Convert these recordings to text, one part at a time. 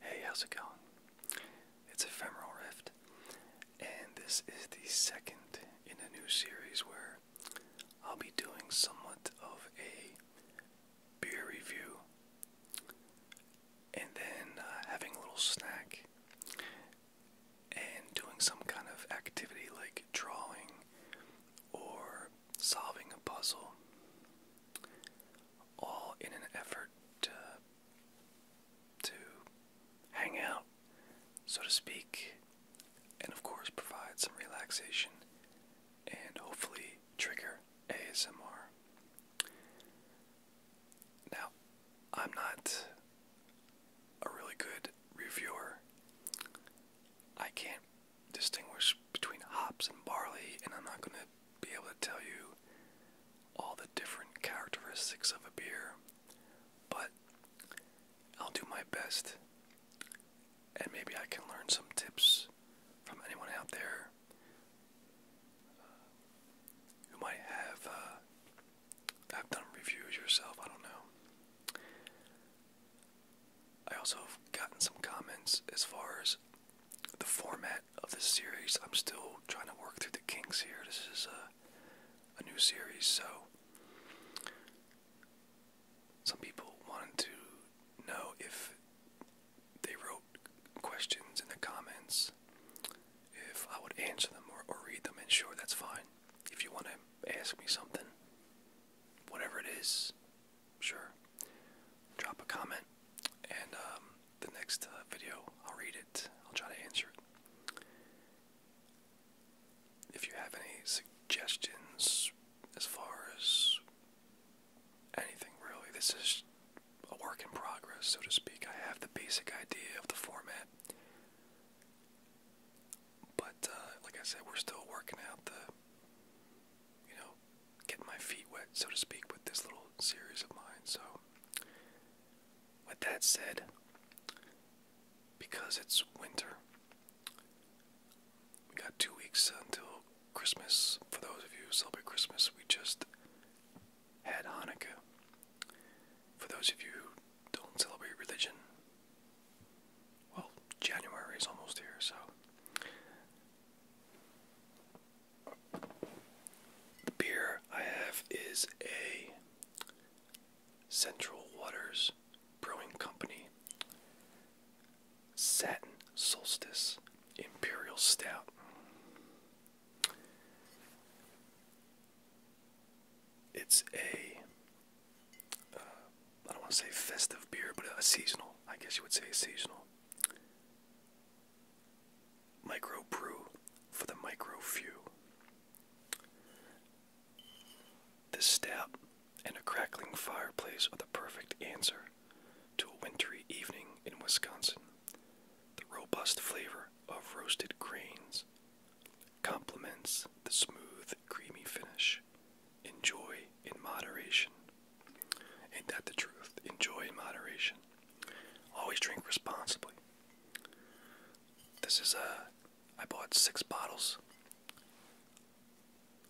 Hey, how's it going? It's Ephemeral Rift, and this is the second in a new series where I'll be doing somewhat of a beer review and then uh, having a little snack and doing some kind of activity like drawing or solving a puzzle all in an effort to, to hang out, so to speak, and of course provide some relaxation and hopefully trigger ASMR. Now, I'm not a really good reviewer. I can't distinguish between hops and barley, and I'm not going to be able to tell you all the different characteristics of a beer, but I'll do my best, and maybe I can learn some tips from anyone out there uh, who might uh, have done reviews yourself. I don't know. I also have gotten some comments as far as the format of this series. I'm still trying to work through the kinks here. This is a, new series, so some people wanted to know if they wrote questions in the comments, if I would answer them or read them, and sure, that's fine. If you want to ask me something, whatever it is, sure. Drop a comment, and um, the next uh, video I'll read it. I'll try to answer it. If you have any suggestions as far as anything really, this is a work in progress, so to speak. I have the basic idea of the format. But uh, like I said, we're still working out the, you know, get my feet wet, so to speak, with this little series of mine. So, with that said, because it's winter, we got two weeks until Christmas. For those of you who celebrate Christmas, we just had Hanukkah. For those of you who don't celebrate religion, well, January is almost here, so the beer I have is a Central Waters Brewing Company Satin Solstice Imperial Stout. It's a uh, don't want to say festive beer, but a seasonal. I guess you would say seasonal. Microbrew for the microfew. This step and a crackling fireplace are the perfect answer to a wintry evening in Wisconsin. The robust flavor of roasted grains complements the smooth, creamy finish. Enjoy in moderation. Ain't that the truth? Enjoy in moderation. Always drink responsibly. This is a. Uh, I bought six bottles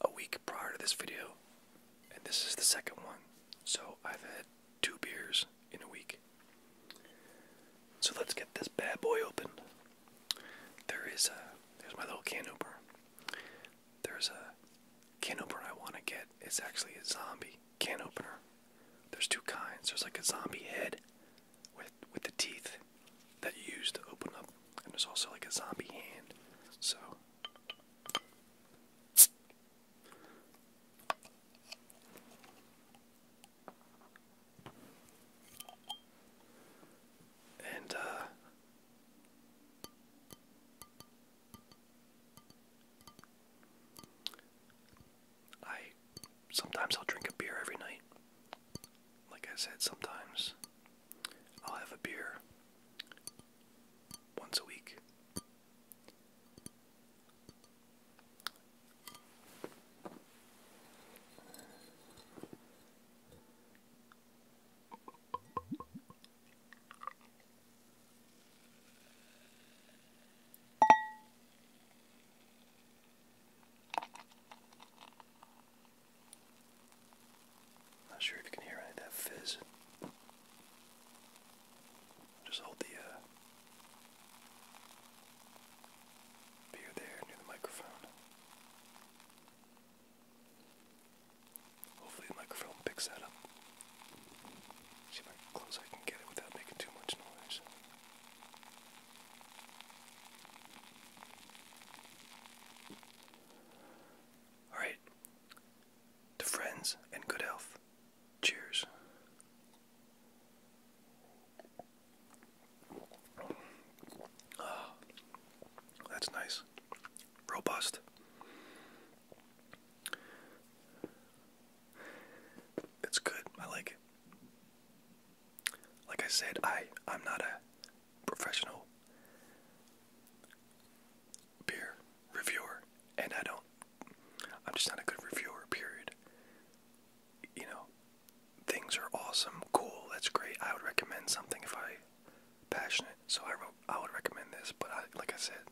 a week prior to this video, and this is the second one. So I've had two beers in a week. So let's get this bad boy opened. There is a. Uh, there's my little can opener. There's a can opener I want to get. It's actually a zombie can opener. There's two kinds. There's like a zombie head with with the teeth that you use to open up, and there's also like a zombie hand. So. And, uh, I sometimes I'll drink a beer every night. Like I said, sometimes I'll have a beer once a week. Not sure if you can hear any of that fizz. Just hold the uh, beer there near the microphone. Hopefully the microphone picks that up. See if I can close I can get it without making too much noise. Alright. To friends and good health. Cheers. Ah, that's nice. Robust. It's good. I like it. Like I said, I I'm not a professional beer reviewer and I don't I'm just not a good reviewer, period. You know, things are awesome, cool, that's great. I would recommend something if I passionate. So I wrote, I would recommend this, but I, like I said,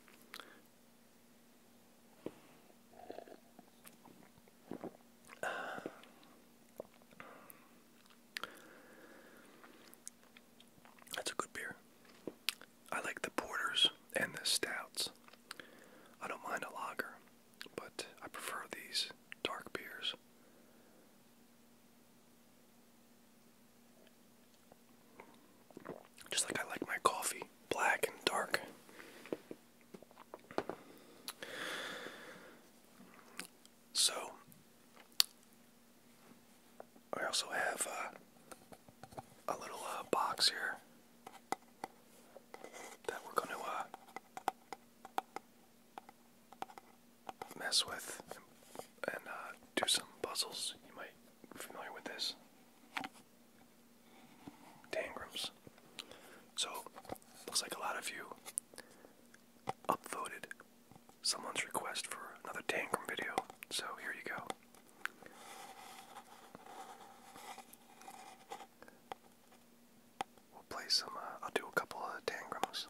uh, that's a good beer. I like the porters and the stouts. I don't mind a lager, but I prefer these dark beers. Just like I like my coffee, black and dark. So, I also have uh, a little uh, box here that we're going to uh, mess with and uh, do some puzzles. You might be familiar with this. Tangrams. So, looks like a lot of you upvoted someone's request for another Tangram video. So, here you go. We'll play some, uh, I'll do a couple of Tangrams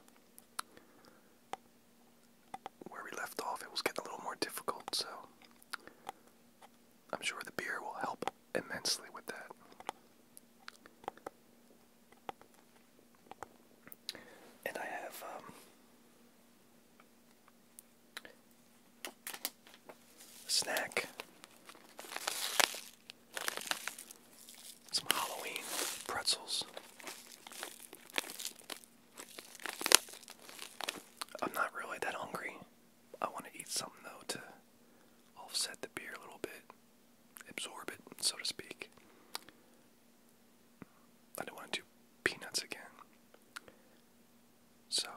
where we left off, it was getting a little more difficult, so I'm sure the beer will help immensely with that. And I have, um, a snack. Some Halloween pretzels. I'm not really that hungry. I want to eat something though to offset the beer a little bit, absorb it, so to speak. I don't want to do peanuts again. So,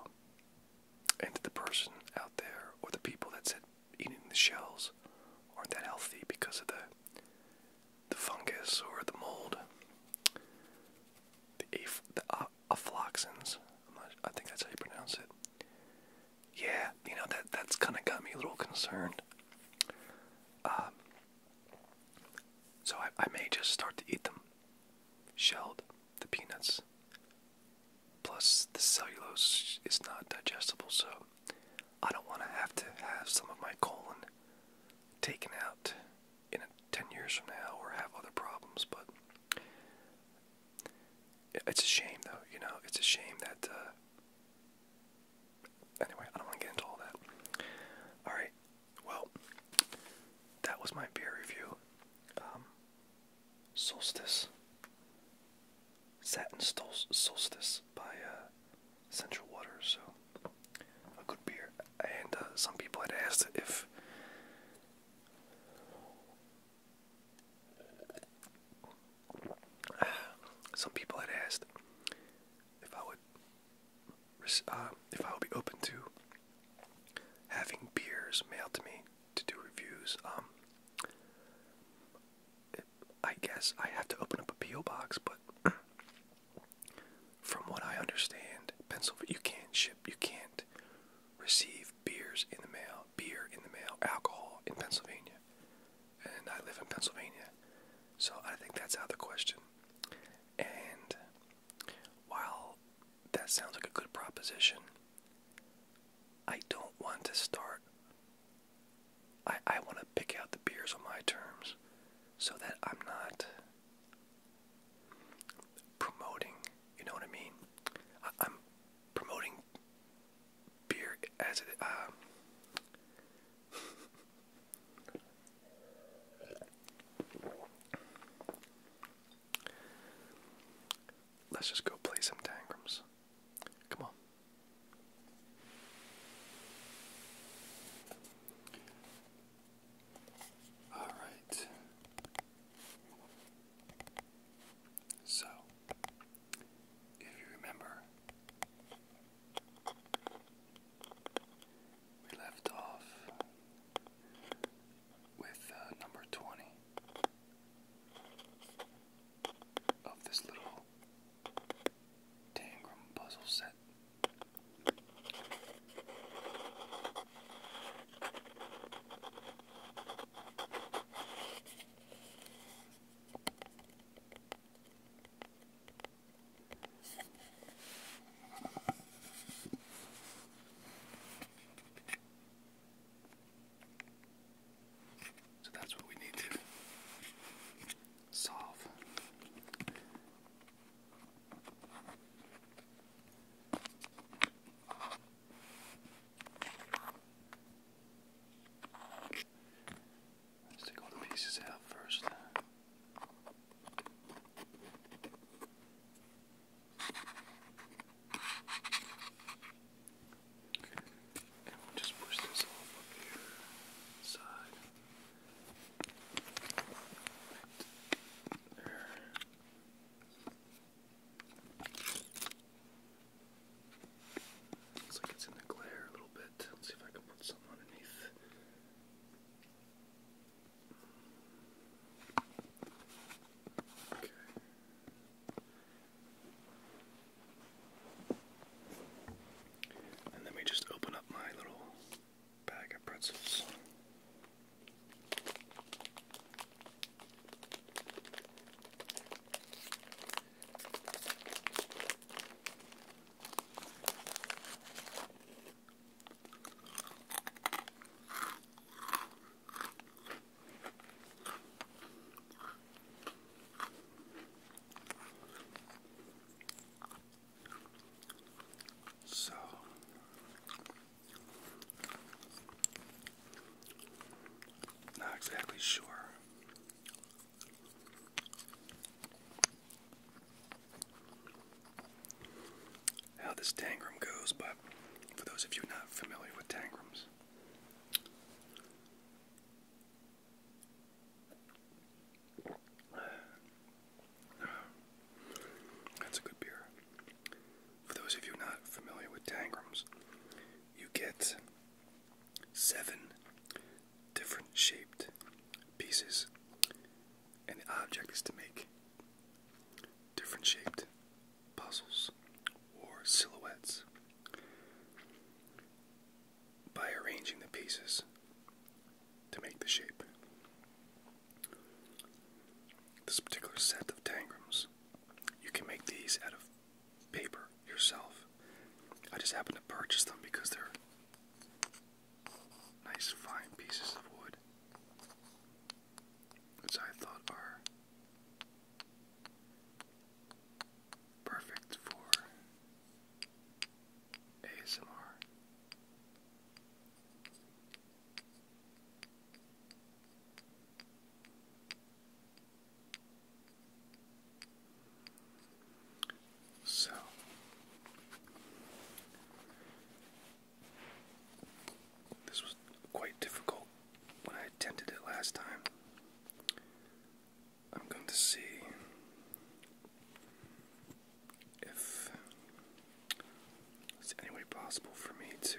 and the person out there or the people that said eating the shells aren't that healthy because of the the fungus or the mold, the, aph the afloxins. i think that's how you pronounce it. Yeah, you know that that's kind of got me a little concerned. Um, so I, I may just start to eat them, shelled, the peanuts. Plus the cellulose is not digestible, so I don't want to have to have some of my colon taken out in 10 years from now or have other problems, but it's a shame though, you know, it's a shame that, uh, anyway, I don't want to get into all that. Alright, well, that was my beer review. Um, Solstice. Satin Solstice by, uh, Central water, so a good beer. And uh, some people had asked if some people had asked if I would uh, if I would be open to having beers mailed to me to do reviews. Um, I guess I have to open up a PO box, but from what I understand, Pennsylvania you can't ship, you can't receive beers in the mail, beer in the mail, alcohol in Pennsylvania. And I live in Pennsylvania, so I think that's out of the question. And while that sounds like a good proposition, I don't want to start I, I want to pick out the beers on my terms so that I'm not promoting, you know what I mean? I, am promoting beer as it. Um, let's just go play some tangrams. Come on. All right. So, if you remember, we left off with uh, number 20 of this little Tangram puzzle set. So that's what we need to solve. let all the pieces out first. just push this off up here side. Looks like it's in the glare a little bit. Let's see if I can put something underneath. Okay. And let me just open up my little bag of pretzels. So not exactly sure. How this tangram goes, but for those of you not familiar with tangrams, that's a good beer. For those of you not familiar with Tangrams, you get seven different shaped pieces, and the object is to make different shaped puzzles or silhouettes by arranging the pieces to make the shape. This particular set of tangrams, you can make these out of paper yourself. I just happen to purchase them because they're nice, fine pieces of wood, which I thought are perfect for ASMR. So this was quite difficult when I attempted it last time. I'm going to see if it's any way possible for me to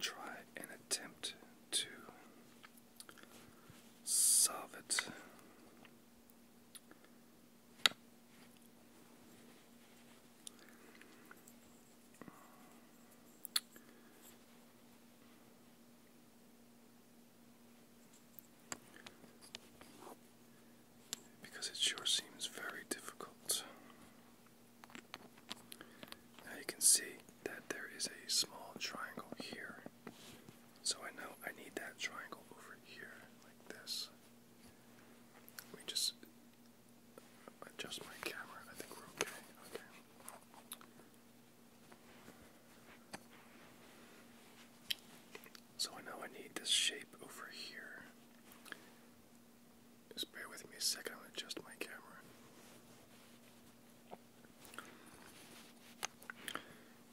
try and attempt to solve it. Because it sure seems very difficult. Now you can see that there is a small triangle here. So I know I need that triangle over here, like this. Let me just adjust my camera. I think we're okay. Okay. So I know I need this shape over here. Just bear with me a second, I'll adjust my camera.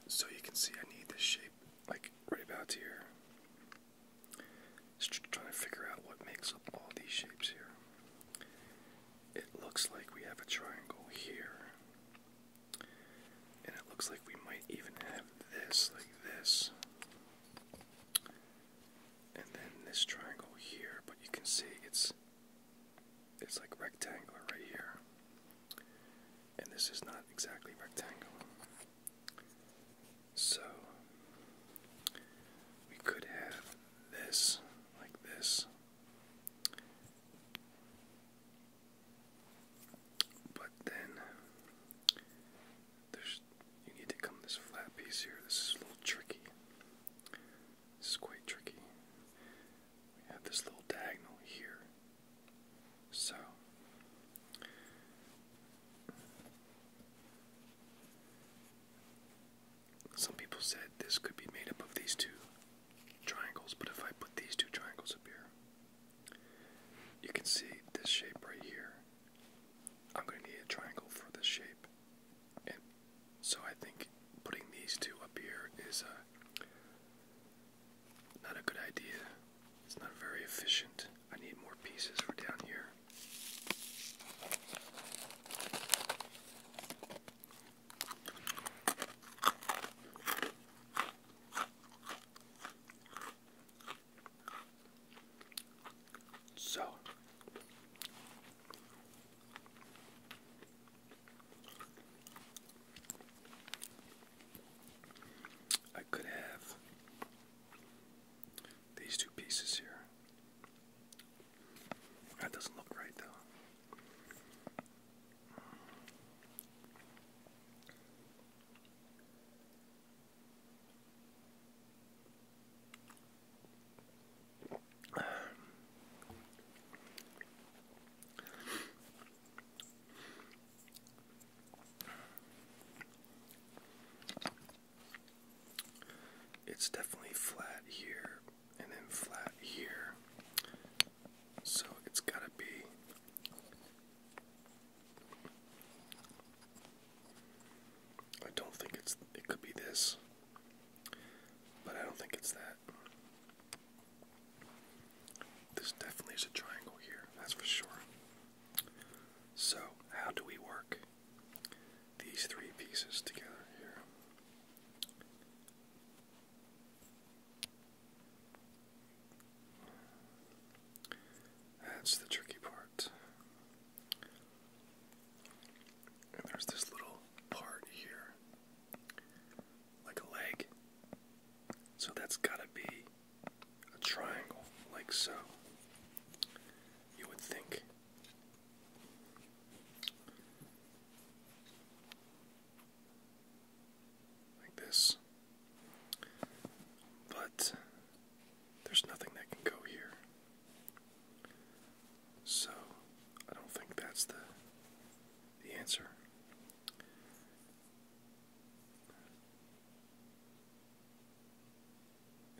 So you can see I need this shape like right about here. Just trying to figure out what makes up all these shapes here it looks like we have a triangle here. And it looks like we might even have this, like this. And then this triangle here, but you can see it's it's like rectangular right here. And this is not exactly rectangular. So we could have this like this but then there's you need to come this flat piece here. This is a little tricky. This is quite tricky. We have this little diagonal here. So some people said this could be made up of these two triangles, but if I put these two triangles up here, you can see this shape right here. I'm going to need a triangle for this shape. And so I think putting these two up here is uh, not a good idea. It's not very efficient. I need more pieces for down here. So I could have these two pieces here. That doesn't look right though. It's definitely flat here and then flat here. So it's got to be I don't think it's it could be this. But I don't think it's that. This definitely is a triangle here, that's for sure. So, how do we work these three pieces together here. That's the tricky part. there's this little part here, like a leg. So that's gotta be a triangle, like so. You would think like this. But there's nothing that can go here. So I don't think that's the the answer.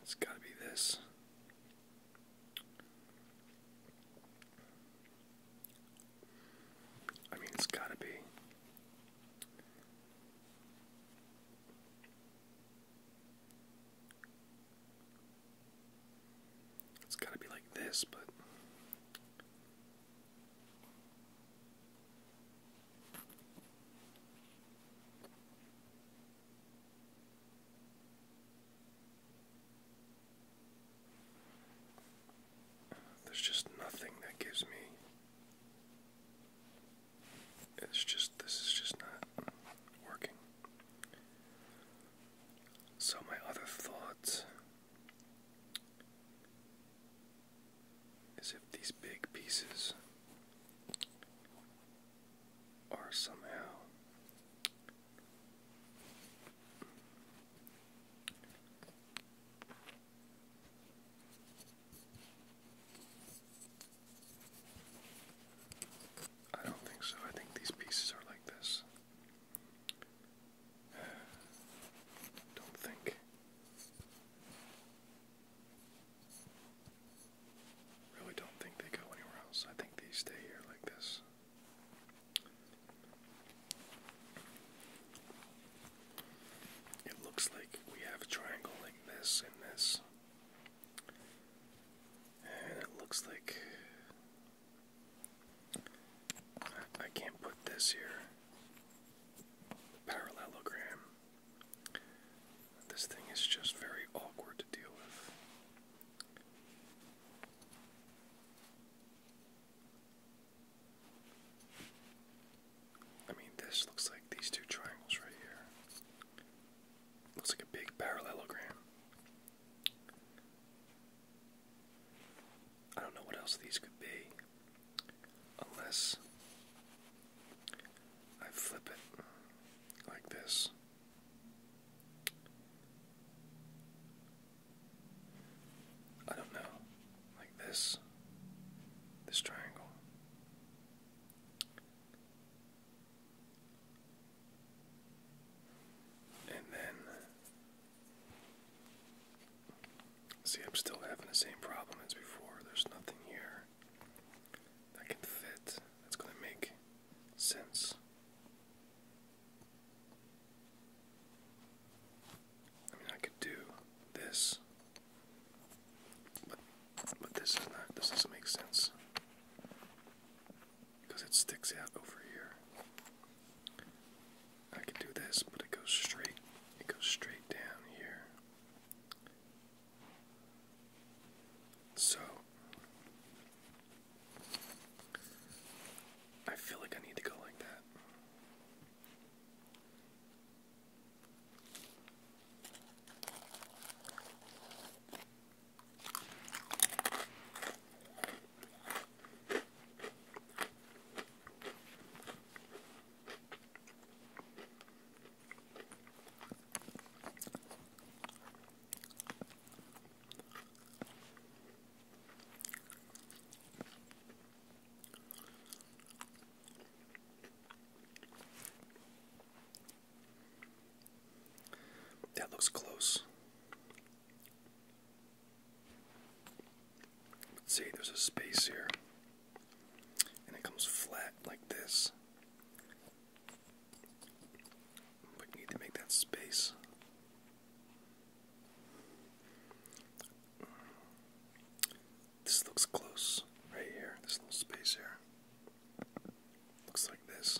It's got to be this. I mean, it's got to be. It's got to be like this, but. There's just nothing that gives me. It's just, this is just not working. So, my other thought is if these big pieces or somehow I don't think so. I think these pieces are like this. Don't think. Really don't think they go anywhere else. I think they stay here like this. It looks like we have a triangle like this and this. And it looks like I, can't put this here. parallelogram. This thing is just very awkward to deal with. I mean, this looks like these two triangles right here. Looks like a big parallelogram. I don't know what else these could be. Unless I flip it like this. I don't know, like this, this triangle. And then, see, I'm still having the same problem as before. There's nothing here that can fit, that's going to make sense. I mean, I could do this, but but this is not. This doesn't make sense because it sticks out over here. I could do this, but it goes straight. It goes straight down here. So, I feel like I need to go like that. That looks close. Let's see, there's a space here, and it comes flat like this. But need to make that space. This looks close right here, this little space here. Looks like this.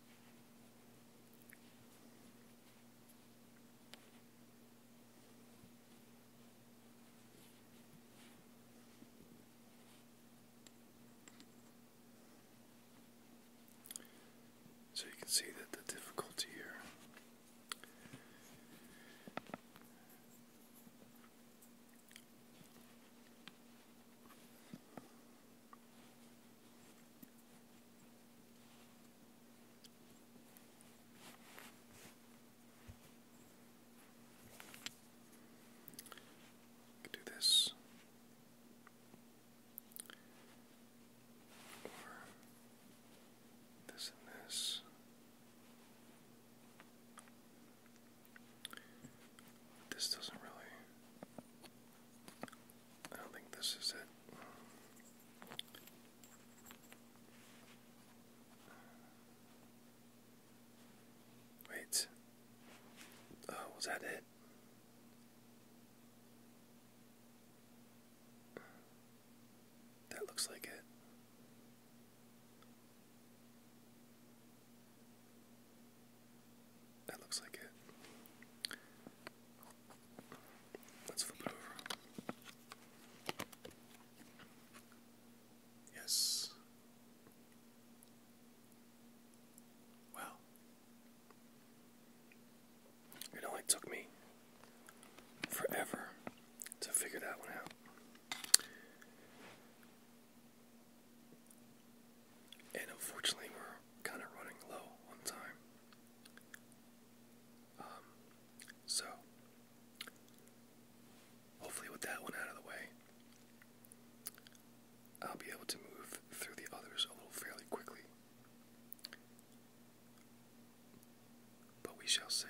So you can see that the difficulty here do this, or this and this. This doesn't really I don't think this is it. Wait. Oh, was that it? That looks like it. That looks like it. Let's flip it over. Yes. Wow. It only took me forever to figure that one out. And unfortunately, we're kind of running low on time. Um, so, hopefully, with that one out of the way, I'll be able to move through the others a little fairly quickly. But we shall see.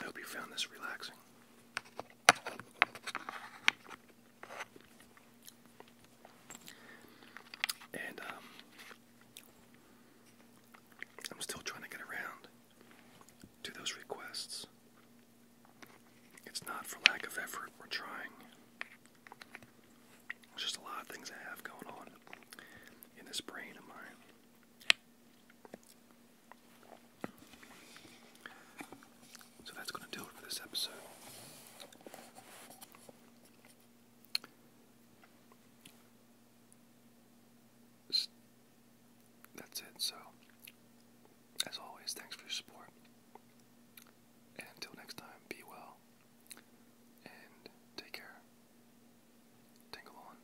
I hope you found this relaxing. And um, I'm still trying to get around to those requests. It's not for lack of effort, we're trying. There's just a lot of things I have going on in this brain of mine. So that's going to do it for this episode. That's it. So, as always, thanks for your support. And until next time, be well and take care. Tingle on.